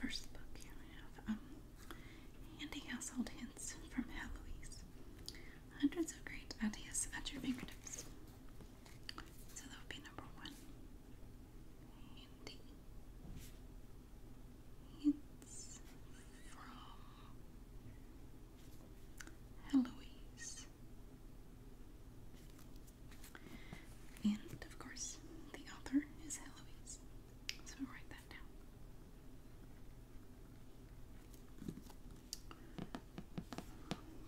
first book here we have um, Handy Household Hints from Heloise. Hundreds of great ideas at your fingertips. So that would be number one. Hints from Heloise. And of course, the author is Heloise. So write that down.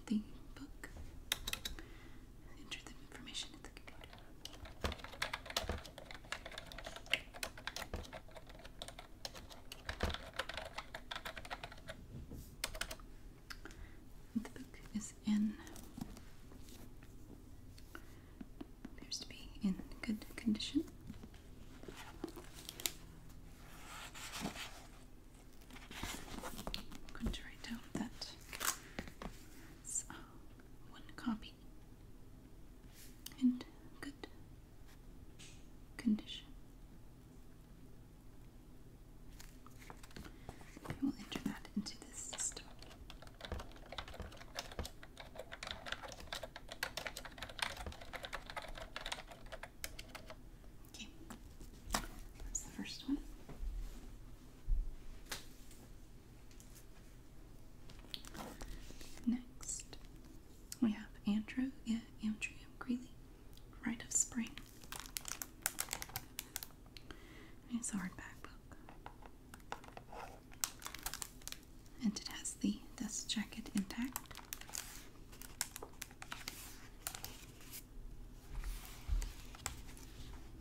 The book. Enter the information at the computer. The book is in appears to be in good condition. going to write down that uh, one copy in good condition. we'll enter that into this system. Okay, that's the first one. Next, we have Andrew, yeah, Andrew Greeley, Rite of Spring. it's a hardback book. And it has the dust jacket intact.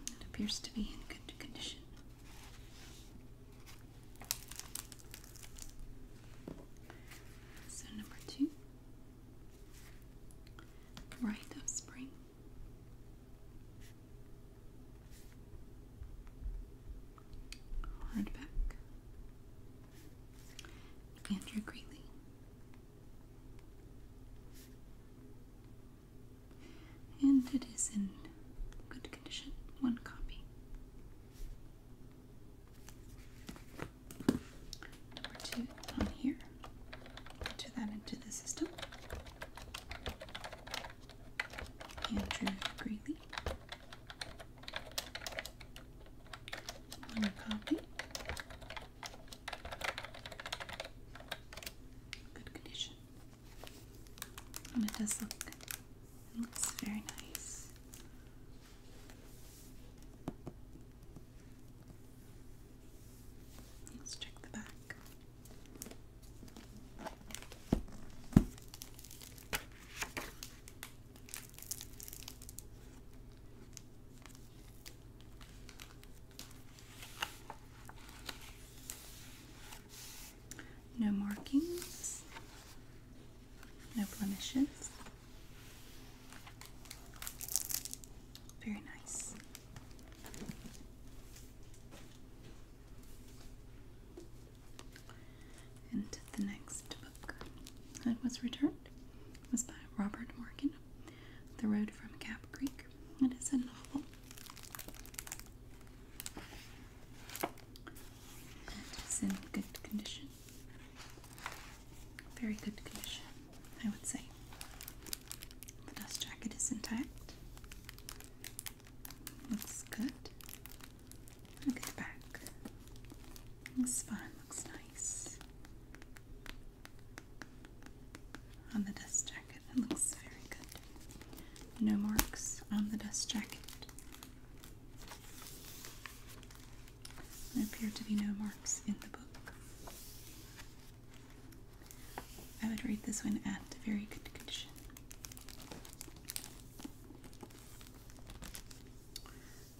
It appears to be in good condition. So, number two, Rite of Spring. Hardback. Andrew Greeley. And it is in good condition, one copy. Number two on here. Enter that into the system. Andrew Greeley. copy. Good condition. it does look it looks very nice. Let's check the back. No markings, no blemishes. Very nice. And the next book that was returned was by Robert Morgan, The Road from Cap Creek. It is a novel it's in good condition. Very good condition, I would say. The dust jacket is intact. Looks good. Look back. Looks fine, looks nice. On the dust jacket, it looks very good. No marks on the dust jacket. There appear to be no marks in the book. I would rate this one at very good condition.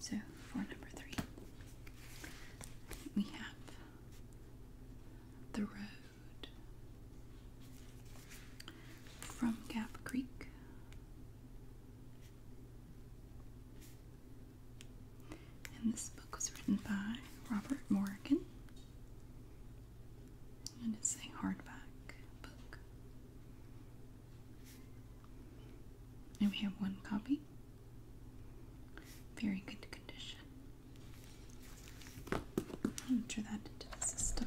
So, for number three, we have The Road from Gap Creek. And this book was written by Robert Morgan. And it's a hardback book. And we have one copy. Very good condition. I'll enter that into the system.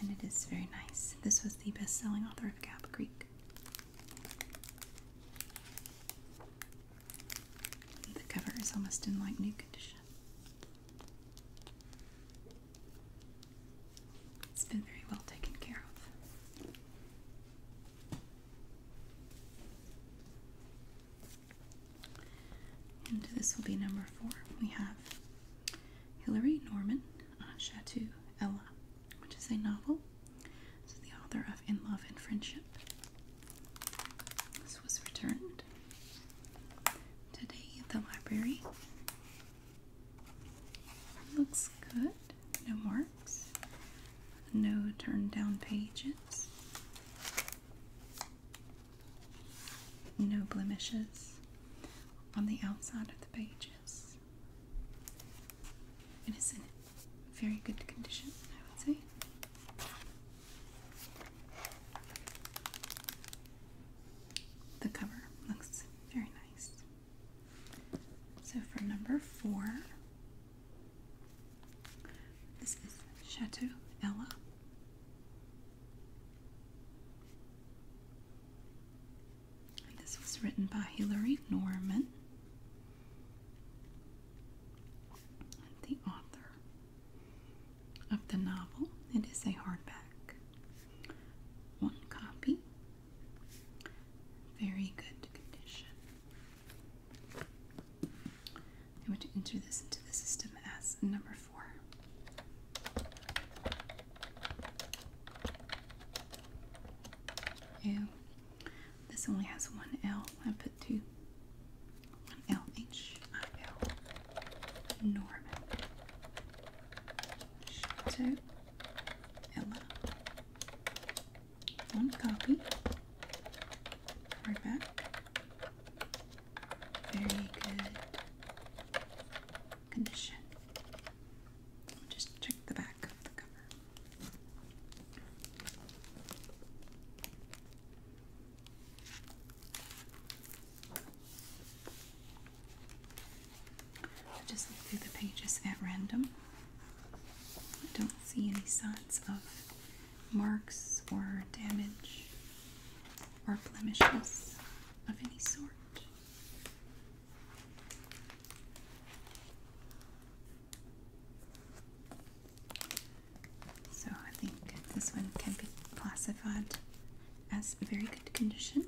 and it is very nice. This was the best selling author of Gap Creek. The cover is almost in like new condition. It's been very well taken care of. And this will be number four. We have Hilary Norman, uh, Chateau Ella, which is a novel. This is the author of In Love and Friendship. This was returned today at the library. Looks good. No marks. No turned down pages. No blemishes on the outside of the pages. And it's in very good condition, I would say. The cover looks very nice. So for number four, this is Chateau Ella this was written by Hilary Norman. And the author of the novel, it is a hardback. One copy. Very good condition. i want to enter this into the system as number four. Ew. This only has one L. I put two. One L H I L. Norman. Chateau. Ella. One copy. Hardback. Very good condition. Just check the back of the cover. I just look through the pages at random. I don't see any signs of marks or damage or blemishes of any sort. So I think this one can be classified as very good condition.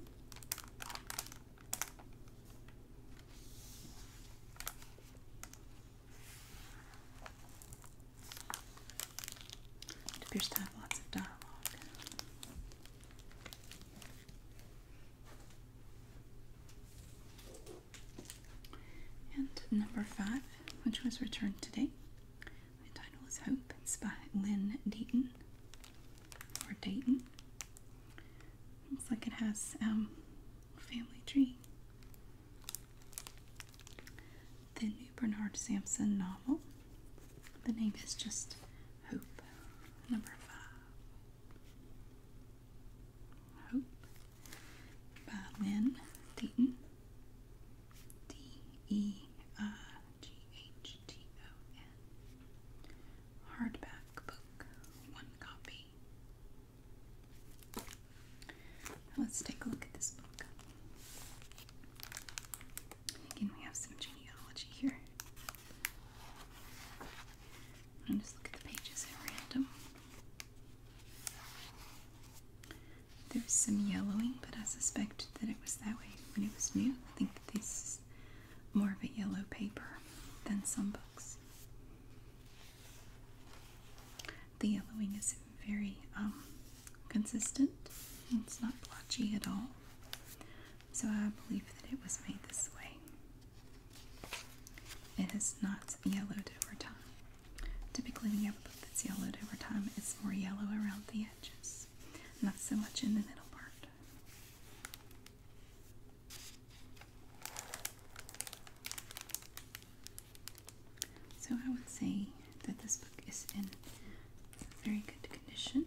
It appears to have lots of dialogue. And number five, which was returned today, the title is Hope. It's by Lynn Deaton or Dayton. Looks like it has um, family tree. The new Bernard Sampson novel the name is just Hope. Number five. Hope by Lynn D E I G H T O N. Hardback book. One copy. Let's take a look at this book. Again, we have some genealogy here. I'm just look at the pages at random. There's some yellowing, but I suspect that it was that way when it was new. I think this is more of a yellow paper than some books. The yellowing is very um, consistent. It's not blotchy at all so I believe that it was made this way. It has not yellowed over time. Typically, the yellow that's yellowed over time is more yellow around the edges, not so much in the middle part. So, I would say that this book is in very good condition.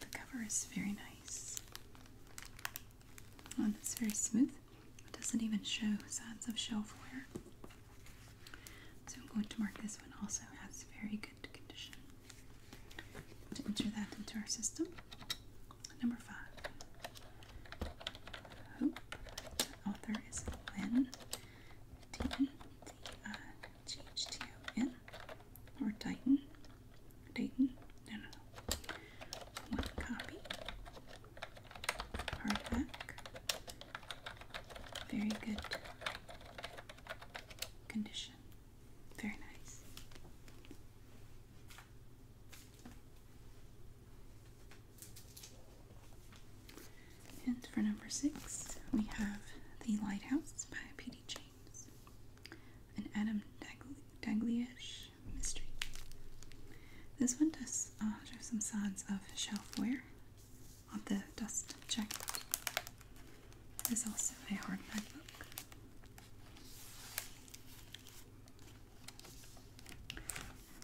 The cover is very nice. Oh, and it's very smooth. It doesn't even show signs of shelf wear. So I'm going to mark this one also as very good condition. To enter that into our system. Number five. author is Lynn D-D-I-G-H-T-O-N or Titan. Dayton. No, no, no. One copy. Hardback. Very good condition. Very nice. And for number six, we have The Lighthouse by P.D. James, an Adam Dagliash mystery. This one does uh, show some signs of shelf wear on the dust jacket. It is also a hardback book.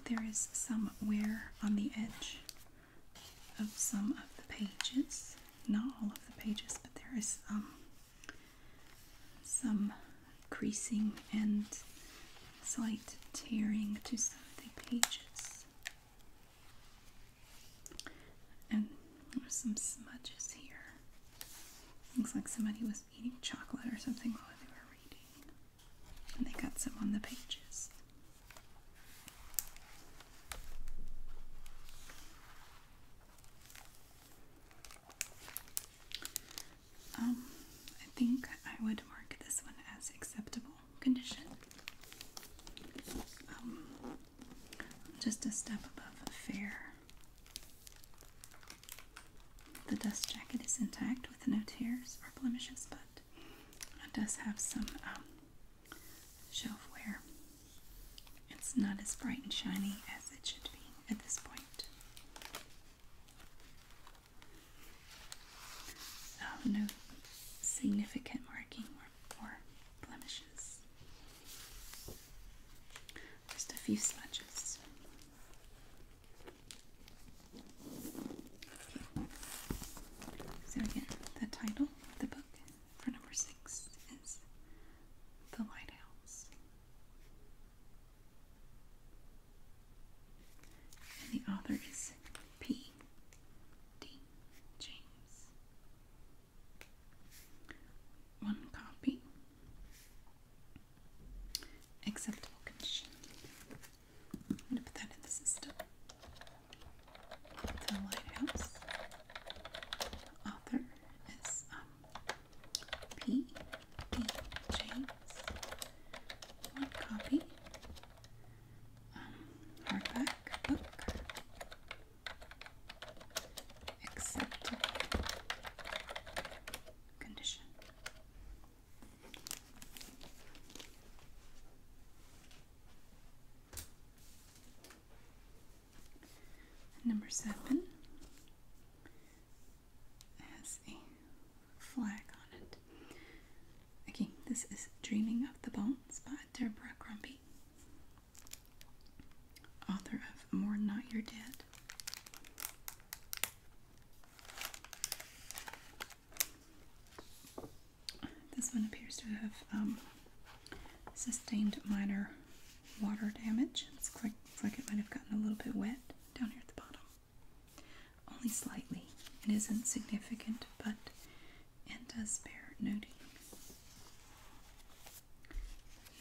There is some wear on the edge of some of the pages. Not all of the pages, but there is um, some creasing and slight tearing to some of the pages. And there's some smudges here. Looks like somebody was eating chocolate or something while they were reading. And they got some on the pages. Um, I think I would mark this one as acceptable condition. Um, just a step above fair. The dust jacket is intact with no tears or blemishes, but it does have some um, shelf where it's not as bright and shiny as it should be at this point. Um, no significant marking or, or blemishes. Just a few smudges. So again, the title of the book for number six is The Lighthouse. And the author is P. D. James. One copy. Acceptable condition. I'm going to put that in the system. The lighthouse author is um, One copy. Um, hardback condition. Number seven has a flag on it. Okay, this is Dreaming of the Bones by Deborah Grumpy, author of More Not Your Dead. This one appears to have um, sustained minor water damage. It's like, it's like it might have gotten a little bit wet down here at the bottom. Only slightly. It isn't significant, but it does bear noting.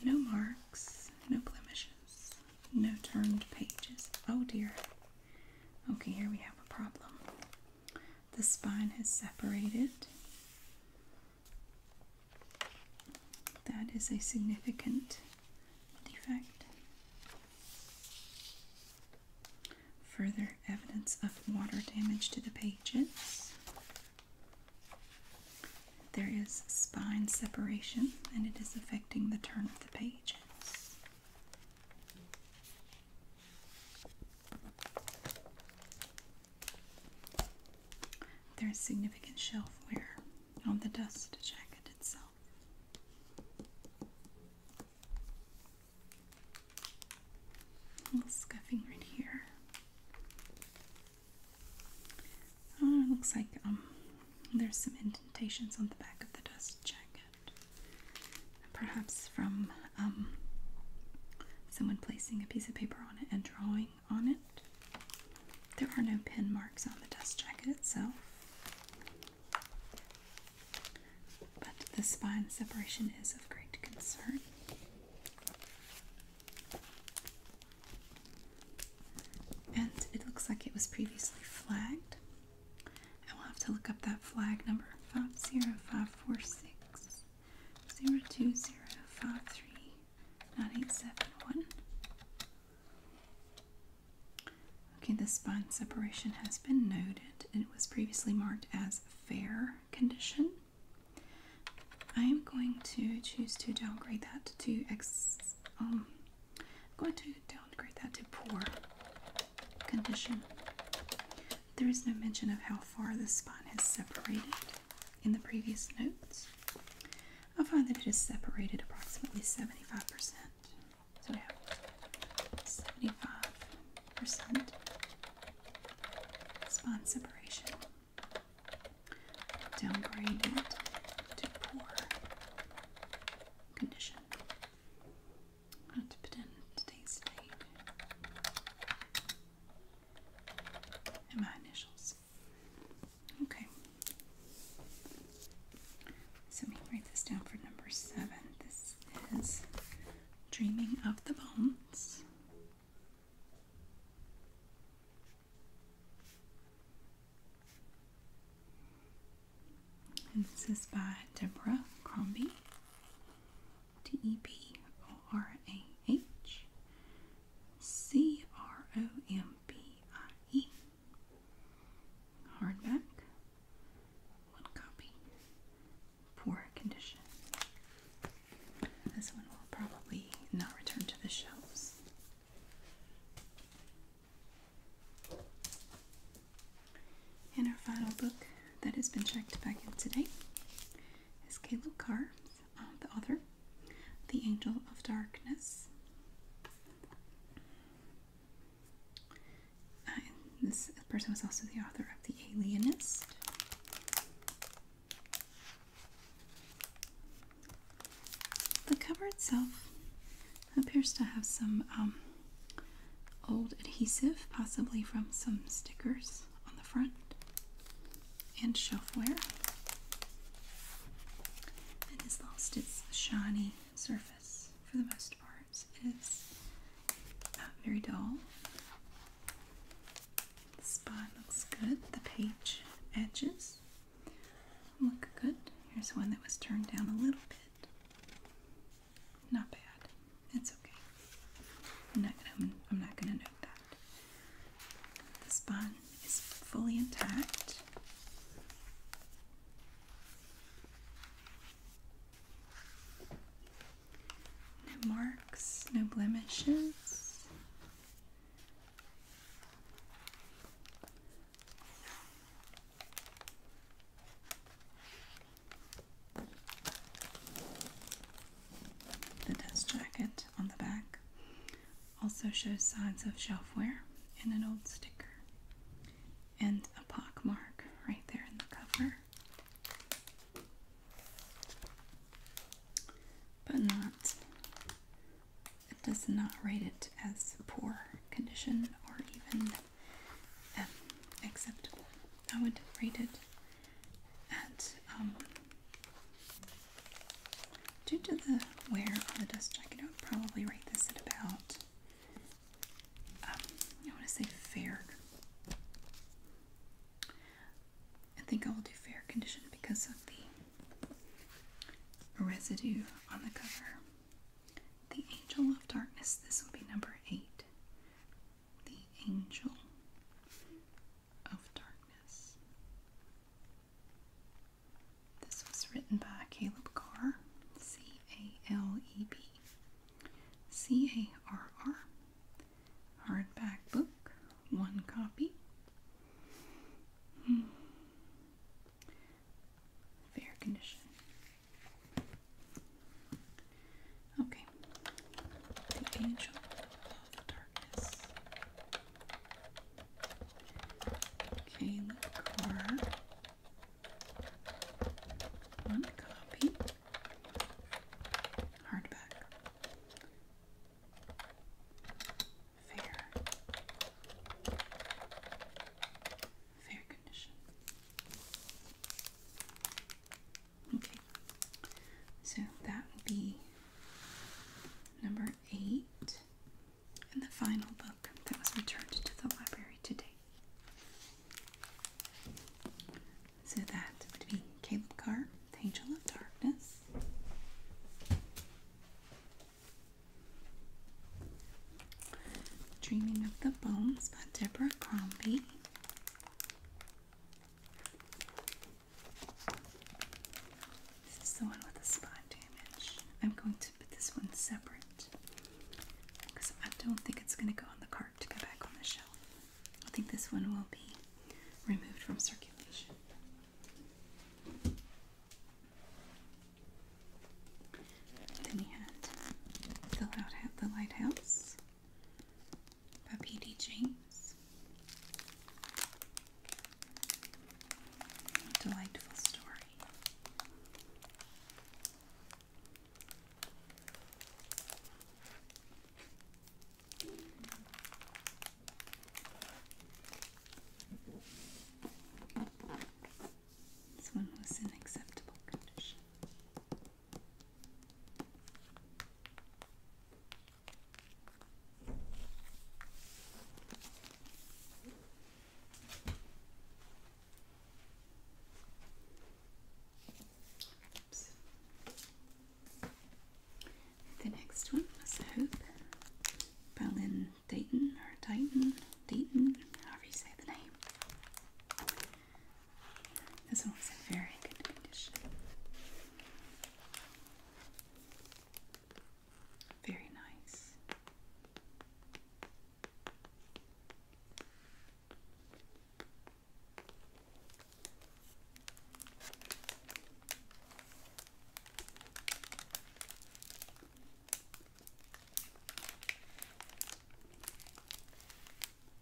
No marks, no blemishes, no turned pages. Oh dear. Okay, here we have a problem the spine has separated. That is a significant defect. Further evidence of water damage to the pages. There is spine separation and it is affecting the turn of the pages. There is significant shelf wear on the dust jacket itself. A little scuffing right here. Oh, it looks like um, there's some indentations on the back of the dust jacket perhaps from um, someone placing a piece of paper on it and drawing on it. There are no pen marks on the dust jacket itself, but the spine separation is of great concern. And it looks like it was previously flagged I will have to look up that flag number five zero five four six zero two zero five three nine eight seven one. Okay, the spine separation has been noted. It was previously marked as fair condition. I am going to choose to downgrade that to ex. Um, I'm going to downgrade that to poor condition. There is no mention of how far the spine has separated in the previous notes. I find that it is separated approximately 75%. So we have 75% spine separation. Downgraded to poor condition. I have to put in today's date and my initials. Okay. So let me write this down for number seven. This is Dreaming of the Bones. this is by Deborah Crombie. D E B O R A H C R O M B I E. Hardback. One copy. Poor condition. This one will probably not return to the shelves. And our final book that has been checked back in today is Caleb Carr, uh, the author, The Angel of Darkness. Uh, this person was also the author of The Alienist. The cover itself appears to have some um, old adhesive, possibly from some stickers on the front, and shelfware. It has lost its shiny surface for the most part. It is not uh, very dull. The spot looks good. The page edges look good. Here's one that was turned down a little bit. Not bad. It's okay. I'm not gonna, I'm not gonna note that. This bond is fully intact. No marks, no blemishes. The dust jacket on the back also shows signs of shelf wear and an old sticker and a pock mark right there in the cover. But not, it does not rate it as poor condition or even um, acceptable. I would rate it at um, due to the wear on the dust jacket, I would probably rate this at about um, I want to say fair. I think I will do fair condition because of the residue on the cover. The Angel of Darkness, this will be number eight the angel of darkness. This was written by Caleb Carr, C A L E B C A R R. Hardback book, one copy. Hmm. Fair condition. Okay. The Angel of Darkness. Caleb Carr. One copy. Hardback. Fair. Fair condition. Okay, so that would be number eight and the final book that was returned to the library today. So that would be Caleb Carr, Angel of Darkness. Dreaming of the Bones by Deborah Crombie. This is the one with the spot damage. I'm going to put this one separate because I don't think it's going to go on the cart to go back on the shelf. I think this one will be removed from circulation. Then we had the lighthouse by P.D. James. delightful story. This one was in acceptable condition. The next one was Hope Berlin Dayton or Dayton, Dayton, however you say the name. This one was in very good condition. Very nice.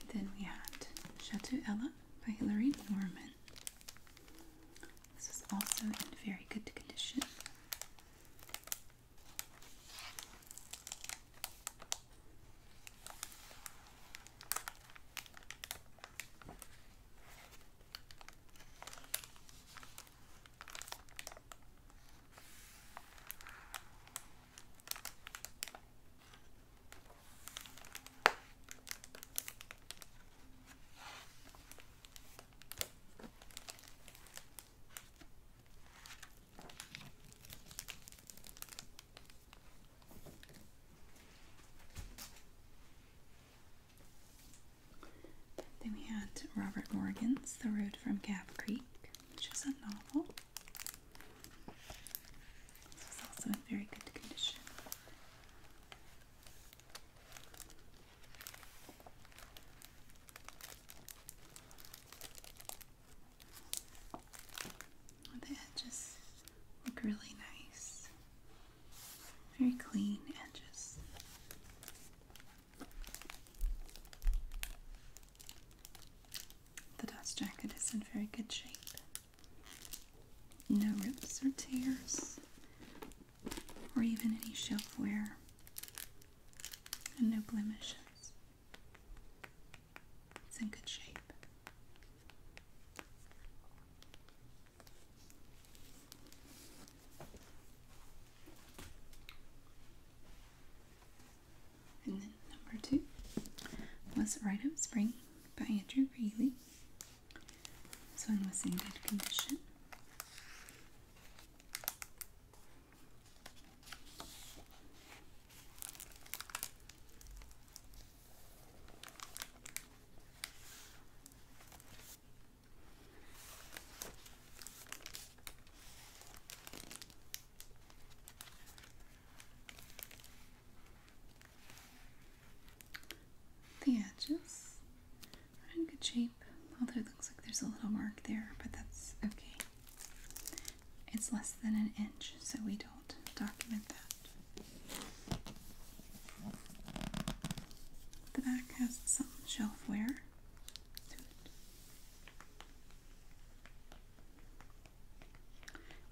And then we had Chateau Ella by Hilary Norman. This is also in very good condition. Then we had Robert Morgan's The Road from Gap Creek, which is a novel. This is also in very good condition. The edges look really nice. Very clean edges. The dust jacket is in very good shape. No rips or tears, or even any shelf wear, and no blemishes. It's in good shape. And then number two was right up spring by Andrew Greeley. This one was in good condition the edges are in good shape, although it looks like there's a little mark there, but that's okay. It's less than an inch, so we don't document that. The back has some shelf wear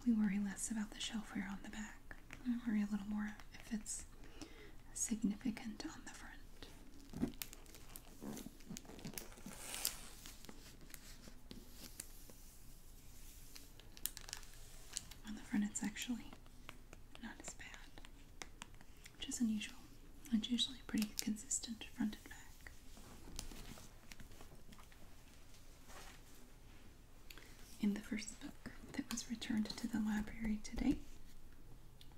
we worry less about the shelfware on the back. We worry a little more if it's significant on the front. On the front, it's actually not as bad, which is unusual. It's usually pretty consistent front and back in the first book that was returned to the library today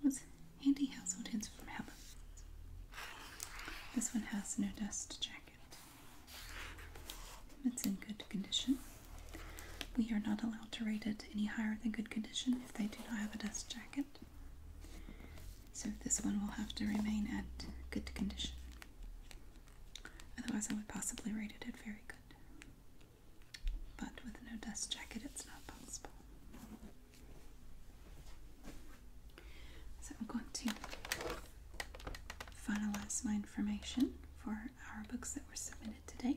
was Handy Household Hints from Helen. This one has no dust jacket. It's in good condition. We are not allowed to rate it any higher than good condition if they do not have a dust jacket. So this one will have to remain at good condition. Otherwise, I would possibly rate it at very good. But with no dust jacket, it's not possible. So I'm going to finalize my information for our books that were submitted today.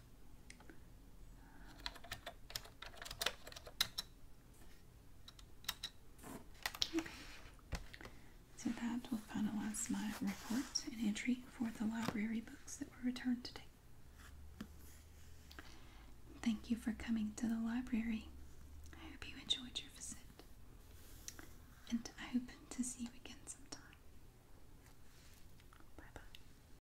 So that will finalize my report and entry for the library books that were returned today. Thank you for coming to the library. I hope you enjoyed your visit. And I hope to see you again sometime. Bye bye.